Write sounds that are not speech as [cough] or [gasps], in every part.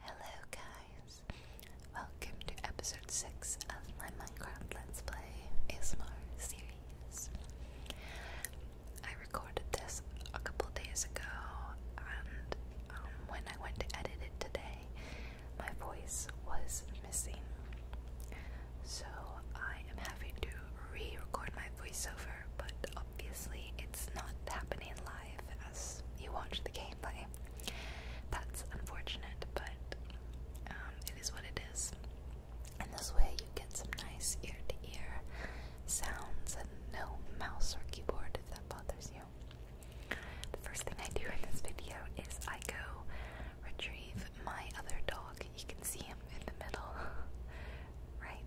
Hello guys! Welcome to episode 6 of my Minecraft Let's Play ASMR series. I recorded this a couple days ago and um, when I went to edit it today, my voice was missing. So I am having to re-record my voiceover, but obviously it's not happening live as you watch the gameplay. That's unfortunate, but um, it is what it is. And this way you get some nice ear to ear sounds and no mouse or keyboard if that bothers you. The first thing I do in this video is I go retrieve my other dog. You can see him in the middle, [laughs] right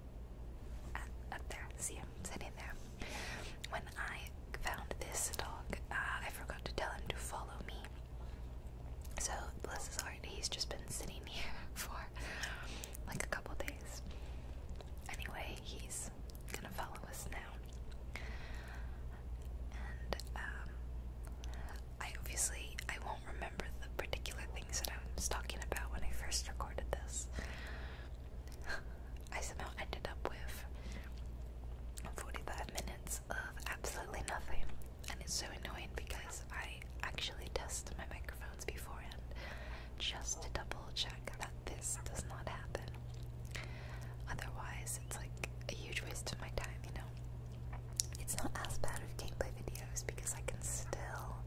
up there. See him sitting there. When I found this dog, uh, I forgot to tell him to follow me. So, bless his heart, he's just been sitting [laughs] here for like a couple days. Anyway, he's gonna follow us now. And, um, I obviously, I won't remember the particular things that I was talking about when I first recorded this. [laughs] I somehow ended up with 45 minutes of absolutely nothing, and it's so annoying because I actually test my microphones beforehand just to double check that this does not happen. Otherwise, it's like a huge waste of my time, you know? It's not as bad with gameplay videos because I can still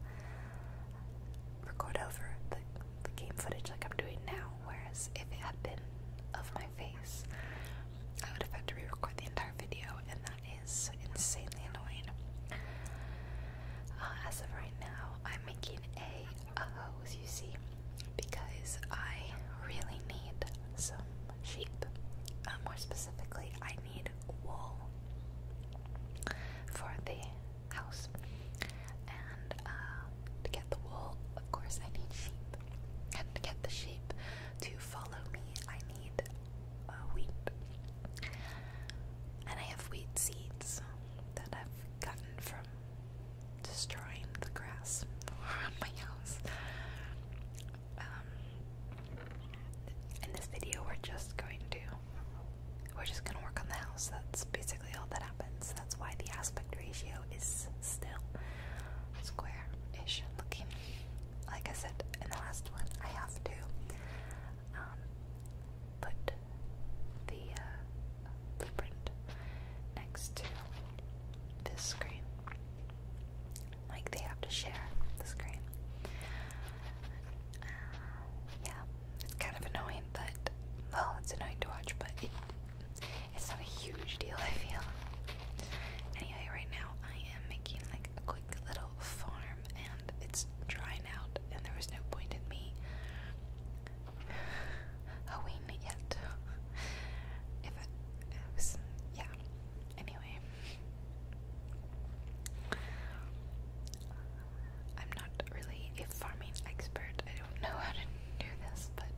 record over the, game footage like I'm doing now, whereas if it had been of my face, I would have had to re record the entire video, and that is insanely annoying. Uh, as of right now, I'm making a, a hose, you see, because I really need some sheep. Uh, more specifically, I need wool for the house. And uh, to get the wool, of course, I need sheep. And to get the sheep to follow me, I need uh, wheat. And I have wheat seeds that I've gotten from destroying the grass around [laughs] my house. in um, this video, we're just going to we're just gonna work on the house. That's basically all that happens. That's why the aspect ratio is still square-ish looking. Like I said in the last one, I have to um, put the uh, blueprint next to this screen. Like they have to share the screen yeah, it's kind of annoying, but well, it's annoying to watch, but it, it's not a huge deal. [laughs] I feel. Anyway, right now I am making like a quick little farm, and it's drying out, and there was no point in me hoeing it yet. if it, was, yeah. Anyway. I'm not really a farming expert. I don't know how to do this, but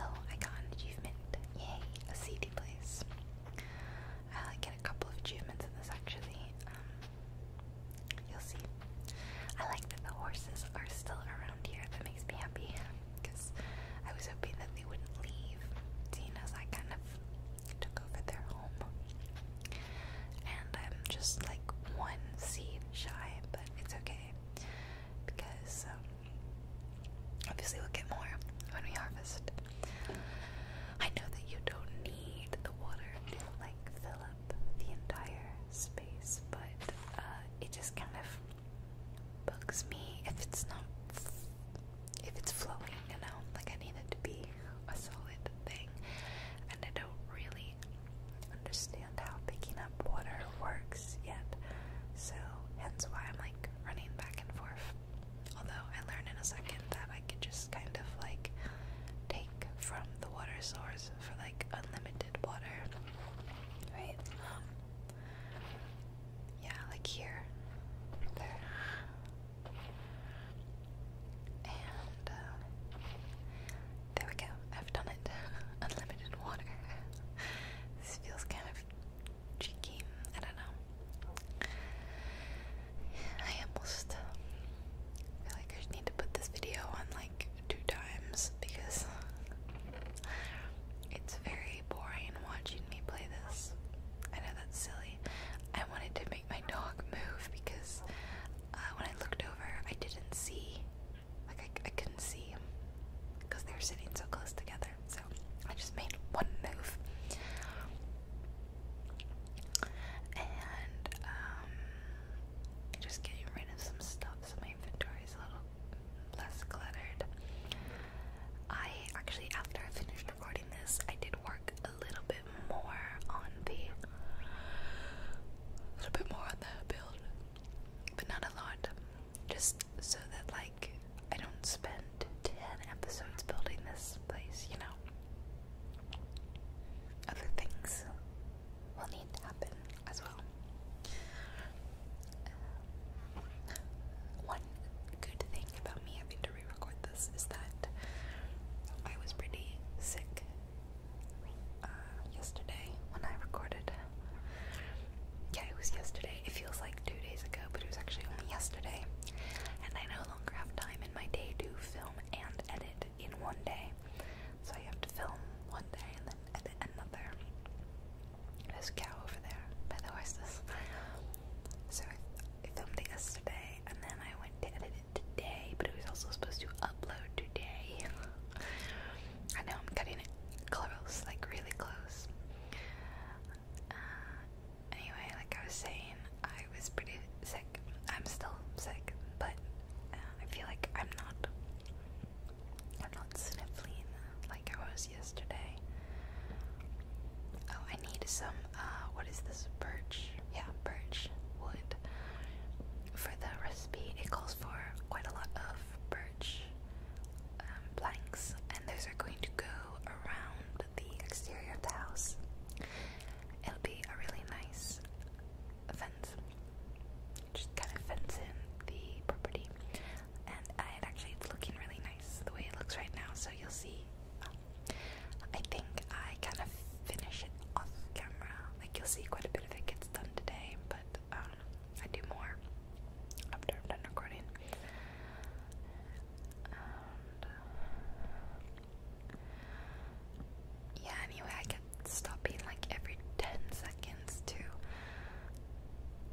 oh, I got an achievement. Yay, a seedy place. I like, get a couple of achievements in this actually. Um, you'll see. I like that the horses are still around here. That makes me happy because I was hoping that they wouldn't leave. Seeing as I kind of took over their and I'm just like one seed shy, but it's okay because um, obviously we'll get more when we harvest. I know that you don't need the water to like fill up the entire space, but uh, it just kind of bugs me if it's not if it's flowing, you know. Like I need it to be a solid thing, and I don't really understand how picking up water works yet, so hence why I'm like running back and forth. Although I learned in a second that I could just kind of like take from the water source for like unlimited water, right? Um, yeah, like here, there. And um, there we go. I've done it. [laughs] Unlimited water. [laughs] this feels kind of cheeky. I don't know. I almost feel like I need to put this video on like two times because it's very boring watching me play this. I know that's silly. I wanted to make my dog move because uh, when I looked over, I didn't see, like I, couldn't see him because they were sitting so close together. So I just made one move, and um, just getting rid of some stuff so my inventory is a little less cluttered. I actually, after I finished recording this, I did work a little bit more on the a little bit more on the build, but not a lot. Just so that like I don't spend ten episodes building this place, you know. Other things will need to happen as well. Um, one good thing about me having to re-record this is that I was pretty sick uh, yesterday when I recorded. Yeah, it was yesterday. It feels like two days ago, but it was actually only yesterday. And I no longer have time in my day to film and edit in one day. So I have to film one day and then edit another. There's a cow over there by the horses. So I, I filmed it yesterday and then I went to edit today, but it was also supposed to upload today. [laughs] I know I'm cutting it close, like really close. Uh, anyway, like I was saying, I was pretty sick. I'm still sick, but uh, I feel like I'm not. I'm not sniffling like I was yesterday. Oh, I need some some, uh, what is this, birch? Yeah, birch wood. For the recipe, it calls for quite a lot of birch um, planks, and those are going to go around the exterior of the house. It'll be a really nice fence. Just kind of fence in the property, and I, actually it's looking really nice the way it looks right now. So you'll see um, I think I kind of finish it off camera. Like you'll see quite a bit of it gets done today, but um, I do more after I'm done recording. yeah, anyway, I get stopping like every 10 seconds to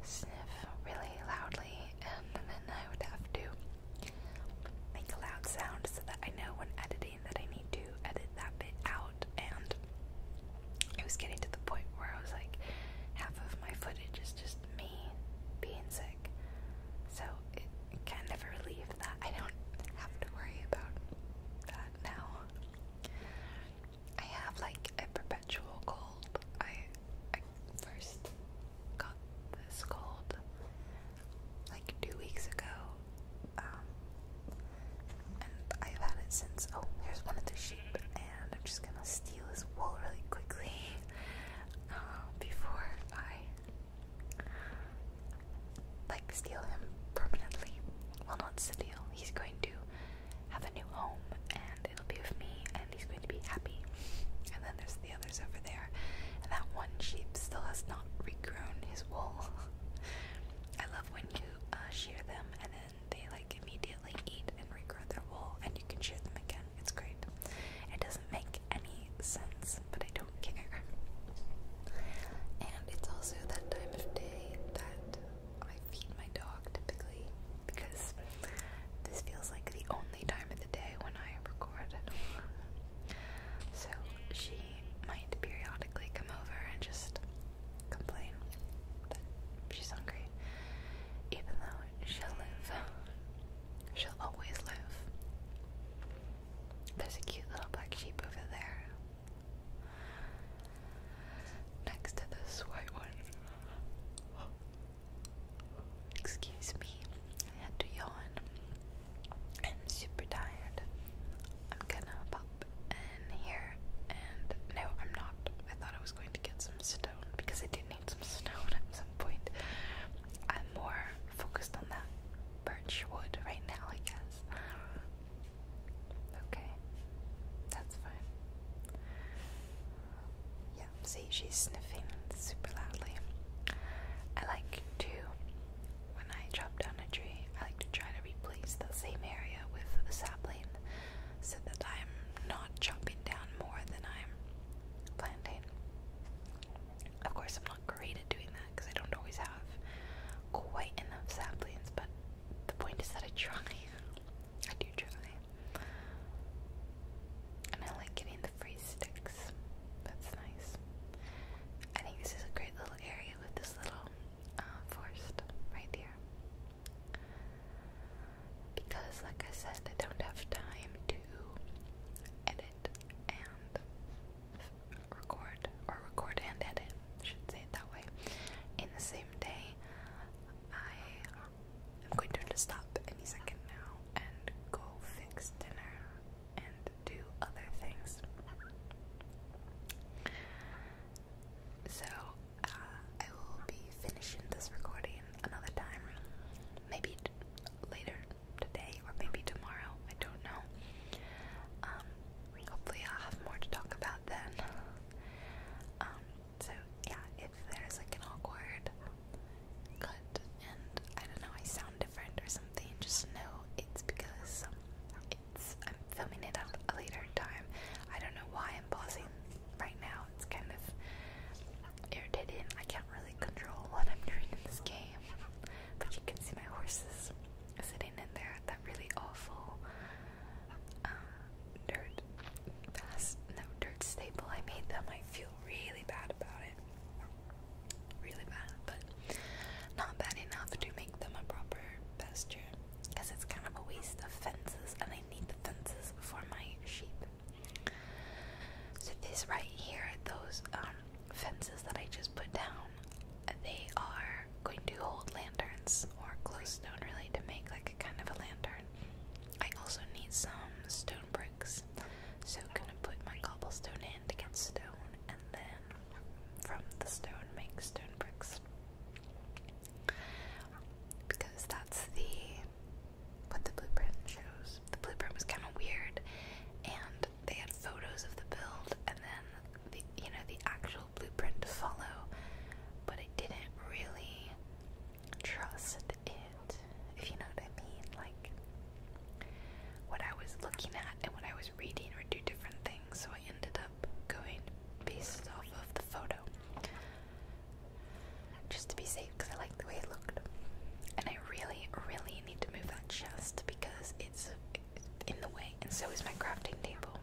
sniff really loudly, and then I would have to make a loud sound so that I know when editing that I need to edit that bit out, and it was getting to the point where I was like, half of my footage is just me being sick, so it, it kind of relieved that I don't have to worry about that now. I have like a perpetual cold. I I first got this cold like two weeks ago. Um, and I've had it since. Oh, here's one of the sheep, and I'm just gonna steal his wool really quickly uh, before I like steal him permanently. Well, not steal. He's going to have a new home, and it'll be with me, and he's going to be happy. And then there's the others over there and that one sheep still has not regrown his wool. [laughs] I love when you uh, shear them and then they like immediately eat and regrow their wool, and you can shear them again. It's great. It doesn't make any sense, but I don't care. And it's also that time of day that I feed my dog typically because this feels like the only time of the day when I record. So she might periodically come over and just complain that she's hungry. Even though she'll live, she'll always live. There's a cute little black sheep over there. Next to this white one. [gasps] Excuse me. I had to yawn. I'm super tired. I'm gonna pop in here and no, I'm not. I thought I was going to get some stone because I did need some stone at some point. I'm more focused on that birch wood right now, I guess. Okay, that's fine. Yeah, see, she's sniffing super loudly. I like to when I chop down a tree, I like to try to replace the same area with a sapling so that I'm not chopping down more than I'm planting. Of course, I'm not great at doing that because I don't always have quite enough saplings, but the point is that I try. [laughs] I do try. And I like getting the free sticks. That's nice. I think this is a great little area with this little uh, forest right here. Because, like I said, I don't have time to edit and record, or record and edit, should say that way, in the same day. I am going to stop any second now and go fix dinner and do other things. So, uh, I will be finishing this recording another time. Maybe later today or maybe tomorrow. I don't know. Um, hopefully, i have more to talk about then. Um, so, yeah, if there's like an awkward and I don't know, I sound different or something, just know it's because it's I'm filming it at a later time. I don't know why I'm pausing right now. It's kind of irritating. I can't really control what I'm doing in this game. But you can see my horses sitting in there at that really awful um, dirt pass, no dirt staple. I made them. I feel really bad about it really bad, but not bad enough to make them a proper pasture because it's kind of a waste of fences and I need the fences for my sheep. So this right here, those um, fences that I just put down, they are going to hold lanterns or glowstone really to make like a kind of a lantern. I also need some stone bricks so gonna put my cobblestone in to get stone, and then from the stone make stone bricks. Because that's the what the blueprint shows. The blueprint was kind of weird, and they had photos of the build, and then the you know the actual blueprint to follow. But I didn't really trust it, if you know what I mean. Like what I was looking at and what I was reading or do different things, so I ended up going based off of the photo. Just to be safe, because I like the way it looked. And I really, really need to move that chest because it's in the way, and so is my crafting table.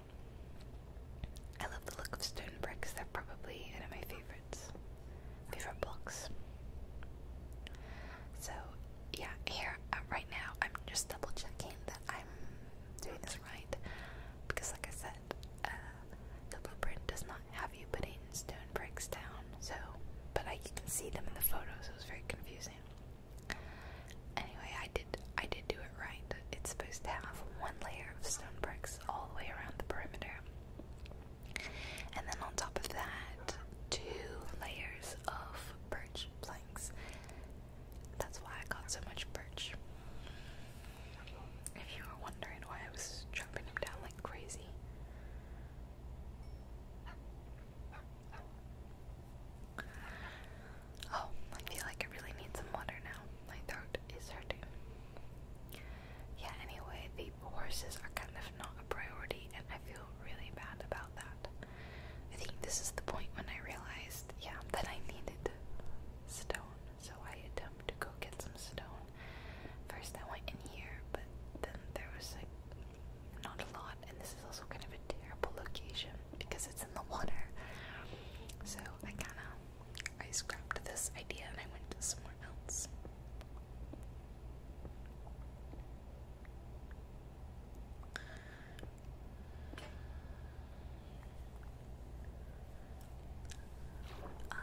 I love the look of stone bricks, they're probably one of my favorites. Favorite blocks. So, yeah, here uh, right now I'm just double checking that I'm doing this right because, like I said, uh, the blueprint does not have you putting stone bricks down. So, but I can see them in the photos. it was very confusing. Anyway, I did I did do it right. It's supposed to have one layer of stone bricks all the way around the perimeter. And then on top of that, two layers of birch planks. That's why I got so much birch. If you were wondering why I was chopping them down like crazy. Oh, I feel like I really need some water now. My throat is hurting. Yeah, anyway, the horses are kind of not a priority, and I feel really bad about that. I think this is the point when I realized, yeah, that I needed stone, so I attempted to go get some stone. First I went in here, but then there was like not a lot, and this is also kind of a terrible location because it's in the water. So I kinda I scrapped this idea and I went to somewhere else. Um,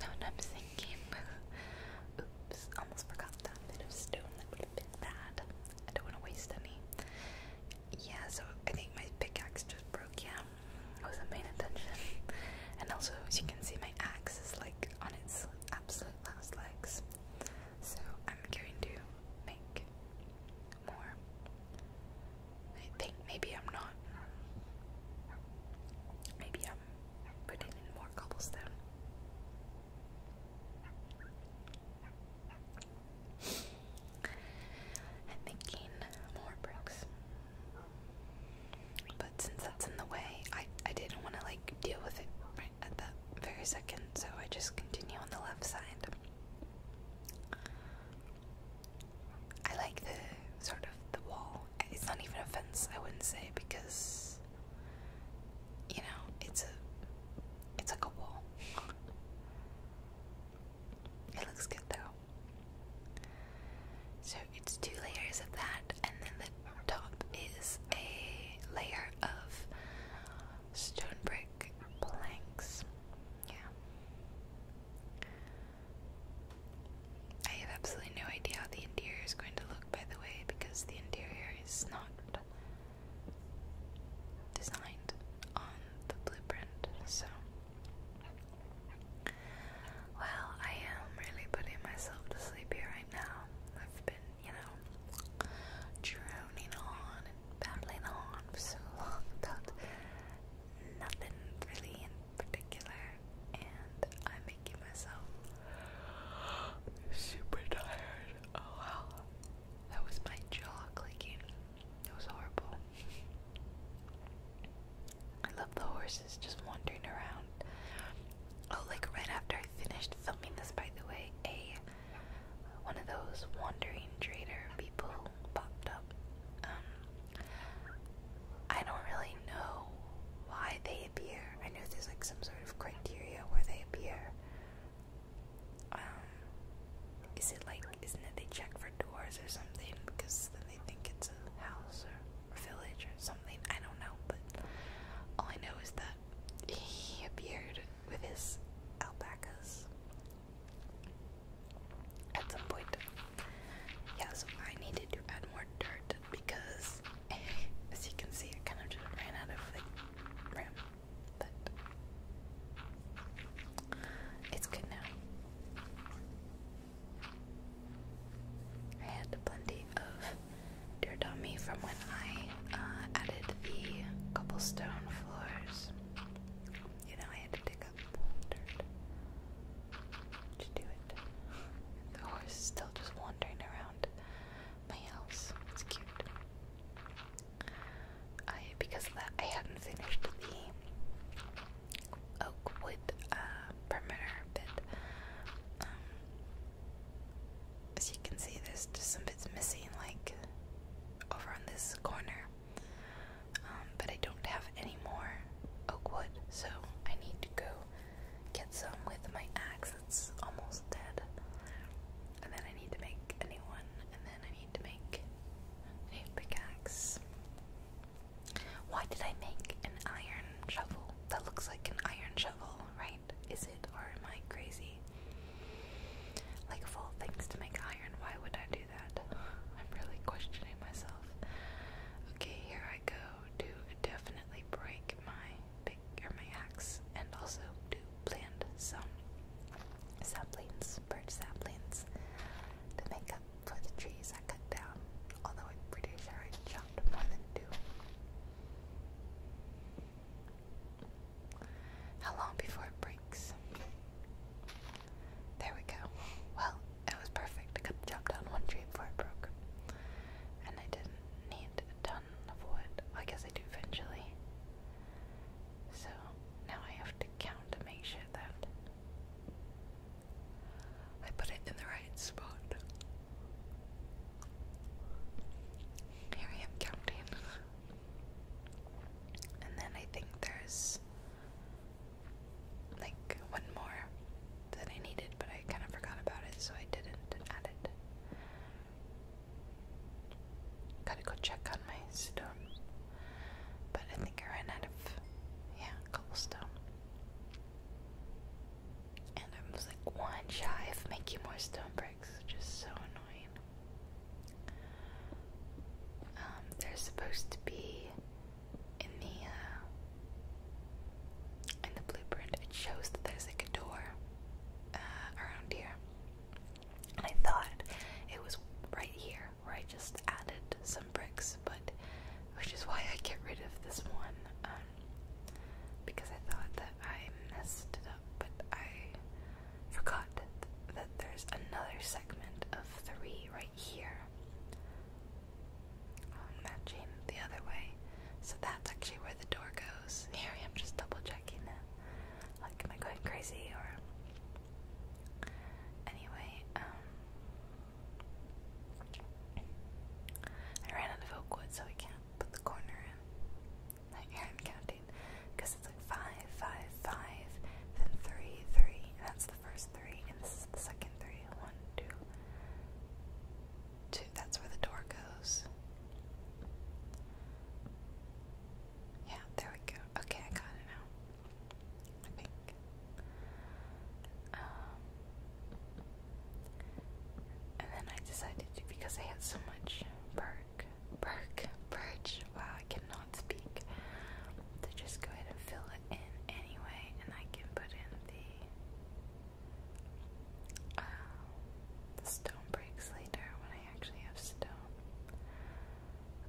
what I'm thinking, [laughs] oops, almost forgot that bit of stone would have been bad. I don't want to waste any. Yeah, so I think my pickaxe just broke, yeah. wasn't paying attention. And also, as you can see, my axe is like on its absolute last legs. So I'm going to make more. I think maybe I'm not. Maybe I'm putting in more cobblestone. I'm making more bricks. But since that's in the way, I I didn't want to like deal with it right at the very second, so I just continue on the left side. I like the sort of the wall. It's not even a fence, I wouldn't say, because you know, it's a it's like a wall. [laughs] It looks good though. So it's two layers of that, and then the top is a layer of stone brick planks. Yeah. I have absolutely no idea how the interior is going to look, by the way, because the interior is not designed on the blueprint, so. Well, I am really putting myself to sleep here right now. I've been you know, droning on and babbling on for so long [laughs] about nothing really in particular, and I'm making myself [gasps] super tired. Oh wow, that was my jaw clicking. It was horrible. I love the horses just wandering around. Oh, like right after I finished filming this, by the way, a one of those wandering trader people popped up. Um, I don't really know why they appear. I know there's like some sort of criteria where they appear. Um, is it like, isn't it they check for doors or something because then they think it's a house or village or something? I don't know, but all I know is that he appeared with his alpacas at some point. Yeah, so I needed to add more dirt because, [laughs] as you can see, I kind of just ran out of like room. But it's good now. I had plenty of Dear Dummy from when I uh, added the cobblestone floors. You know, I had to dig up dirt to do it. The horse is still just wandering around my house. It's cute. I because of that I hadn't finished the oak wood uh, perimeter bit. Um, as you can see, there's just some bits missing, like over on this corner. Um, but I don't have any more oak wood, so I need to go get some with my axe that's almost dead. And then I need to make a new one, and then I need to make a new pickaxe. Why did I make an iron shovel? That looks like an iron shovel, right? Is it? or am I crazy? Like of things to make iron, why would I do that? [sighs] I'm really questioning myself. Okay, here I go to definitely break my pick or my axe and also to plant some saplings, birch saplings to make up for the trees I cut down. Although I'm chopped more than two. How long before it breaks? There we go. Well, it was perfect. I could have jumped on one tree before it broke. And I didn't need a ton of wood. I guess I do eventually. So now I have to count to make sure that I put it in the right spot. Here I am counting. and then I think there's like one more that I needed, but I kind of forgot about it, so I didn't add it. Gotta go check on my stone. But I think I ran out of, yeah, cobblestone. And I was like one shy of making more stone bricks, which is so annoying. Um, they supposed to be in the uh, in the blueprint. It shows that there's like a door uh, around here, and I thought it was right here where I just added some bricks, but which is why I get rid of this one. Um, because I thought that I messed it up, but I forgot that, there's another segment of three right here oh, matching the other way. So that's actually where the door goes. Here I am just double checking that. Like, am I going crazy or. Anyway, um, I ran out of oak wood, so we can't put the corner in. Like, yeah, I'm it's like five, five, five, then three, three, that's the first three, and this is the second three. One, two, two. That's where the door goes. Yeah, there we go. Okay, I got it now. I think. Um, and then I decided to, because I had so much perk, perk, perch, wow, I cannot speak, to just go ahead and fill it in anyway, and I can put in the uh, stone breaks later when I actually have stone.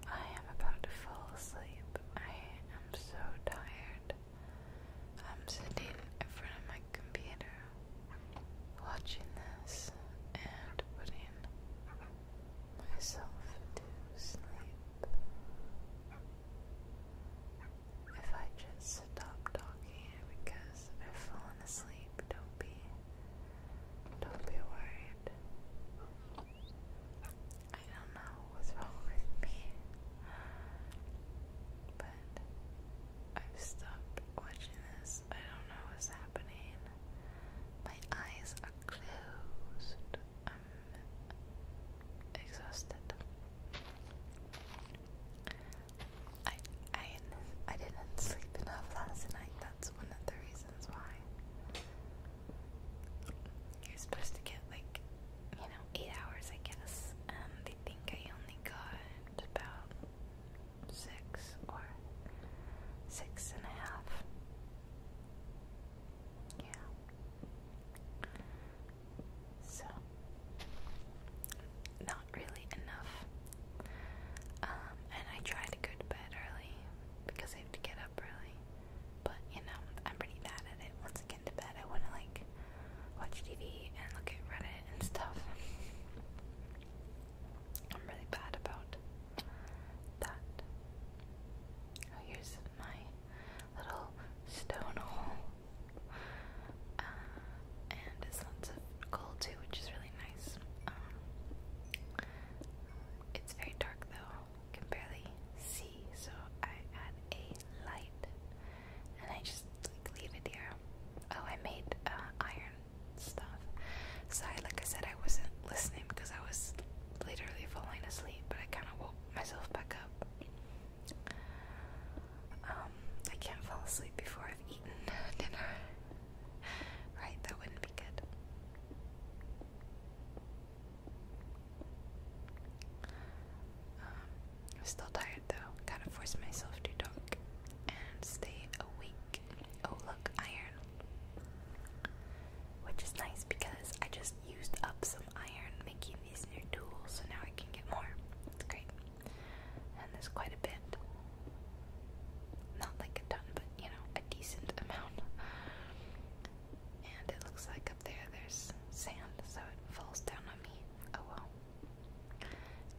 I am about to fall asleep. I am so tired. I'm sitting in front of my computer watching this and putting myself to sleep. If I just stop talking because i am falling asleep, don't be don't be worried. I don't know what's wrong with me. But I've stopped watching this. I don't know what's happening. My eyes are closed. I'm exhausted. I I I didn't sleep enough last night. That's one of the reasons why. You're supposed to get like, you know, eight hours, I guess. And they think I only got around about six or six and a half. Yeah. So, not really enough. Um, and I try to go to bed early because I have to get up early. But, you know, I'm pretty bad at it. Once I get to bed, I want to, like, watch TV and look at Reddit and stuff. I'm really bad about that. Oh, here's my little stone hole. Uh, and it's lots of gold too, which is really nice. Um, it's very dark though, I can barely see, so I add a light and I just leave it there. Oh, I made uh, iron stuff. So, like I said, I wasn't listening because I was literally falling asleep, but I kind of woke myself back up. Um, I can't fall asleep before I've eaten dinner. [laughs] right, that wouldn't be good. Um, I am still tired though. Gotta force myself to talk and stay awake. Oh, look, iron. Which is nice because I just used up some iron making these new tools, so now I can get more. That's great. And there's quite a bit. Not like a ton, but you know, a decent amount. And it looks like up there there's sand, so it falls down on me. Oh well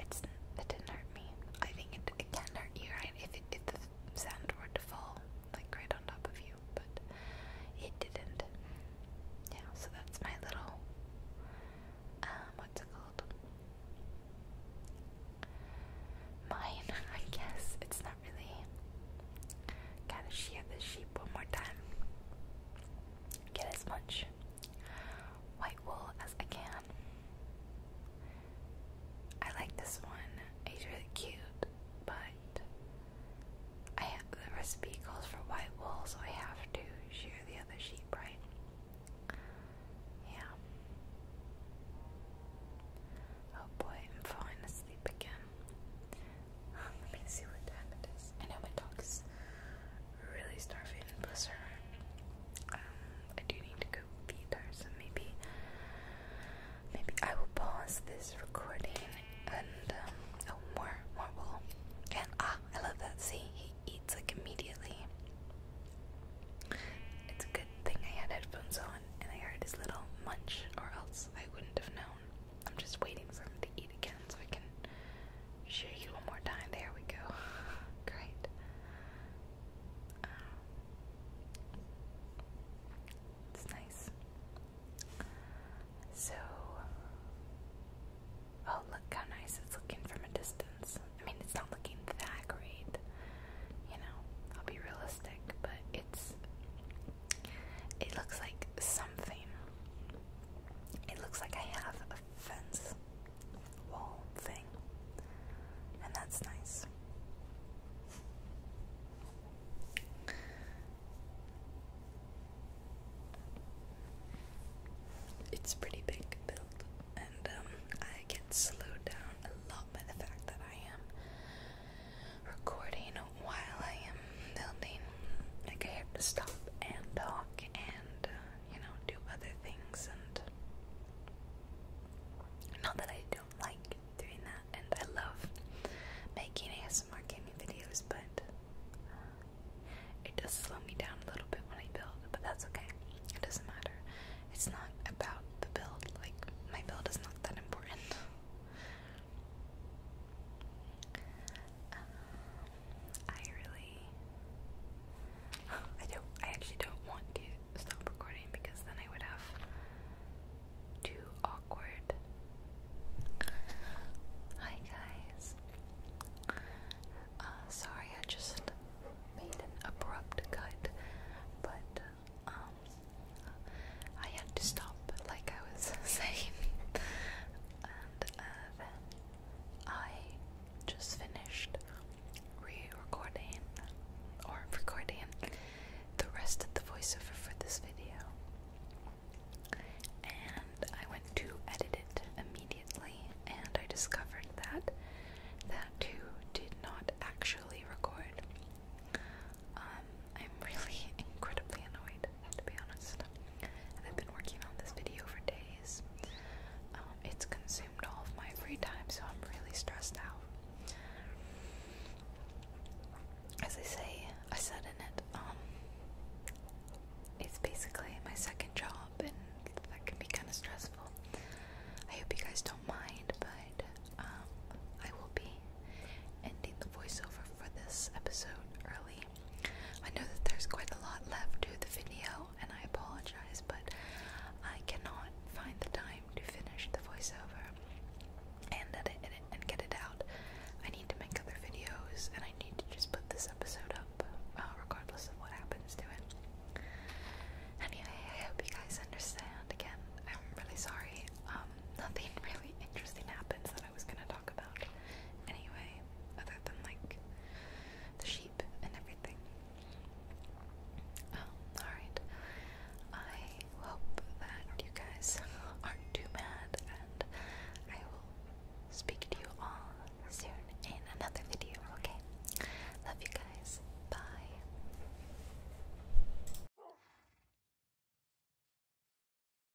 it didn't hurt me. I think it, can hurt you, right? If it, if the sand were to fall like right on top of you, but it didn't. Yeah, so that's my little um, what's it called? Mine, [laughs] I guess. It's not really. Kind of shear the sheep one more time. Get as much white wool as I can. I like this one. It's really cute, but I have, the recipe calls for white wool, so I have to shear the other sheep, right? Yeah. Oh boy, I'm falling asleep again. [laughs] Let me see what time it is. I know my dog's really starving, bless her. Um, I do need to go feed her, so maybe, maybe I will pause this recording and um, oh, more, more wool. And ah, I love that. See, he eats like immediately. It's a good thing I had headphones on and I heard his little munch, or else I wouldn't have known. I'm just waiting for him to eat again so I can Share you one more time. There we go. [laughs] Great. Um, it's nice. So, oh, look how nice it's looking from a distance. I mean, it's not looking that great, you know, I'll be realistic, but it's, it looks like something. It looks like I have fence wall thing, and that's nice. It's pretty big built, and um, I get slowed down a lot by the fact that I am recording while I am building. Like I have to stop and talk and uh, you know, do other things and not that I don't like doing that and I love making ASMR gaming videos but it does slow me down a little bit when I build but that's okay. It doesn't matter. It's not about the build. Like my build is not that important. Um, I really, I don't, I actually don't want to stop recording because then I would have too awkward. Hi guys. Uh, sorry, I just made an abrupt cut, but um, I had to stop, like I was [laughs] saying, and uh, then I just finished re-recording or recording the rest of the voiceover for this video. And I went to edit it immediately and I discovered that that too did not actually record. Um, I'm [laughs] really incredibly annoyed to be honest. I've been working on this video for days. Um, it's consumed all of my free time, so I'm really stressed out. As I say, I said in it, um, it's basically my second job, and that can be kind of stressful. I hope you guys don't mind, but um, I will be ending the voiceover for this episode early I know that there's quite a lot left to the video, and I apologize, but I cannot find the time to finish the voiceover and edit it and get it out. I need to make other videos, and I need to just put this episode up, uh, regardless of what happens to it. Anyway, I hope you guys understand. Again, I'm really sorry. Um, [laughs] nothing really interesting happens that I was gonna talk anyway, other than like the sheep and everything. Um, alright. I hope that you guys [laughs] aren't too mad, and I will speak to you all soon in another video, okay? Love you guys. Bye.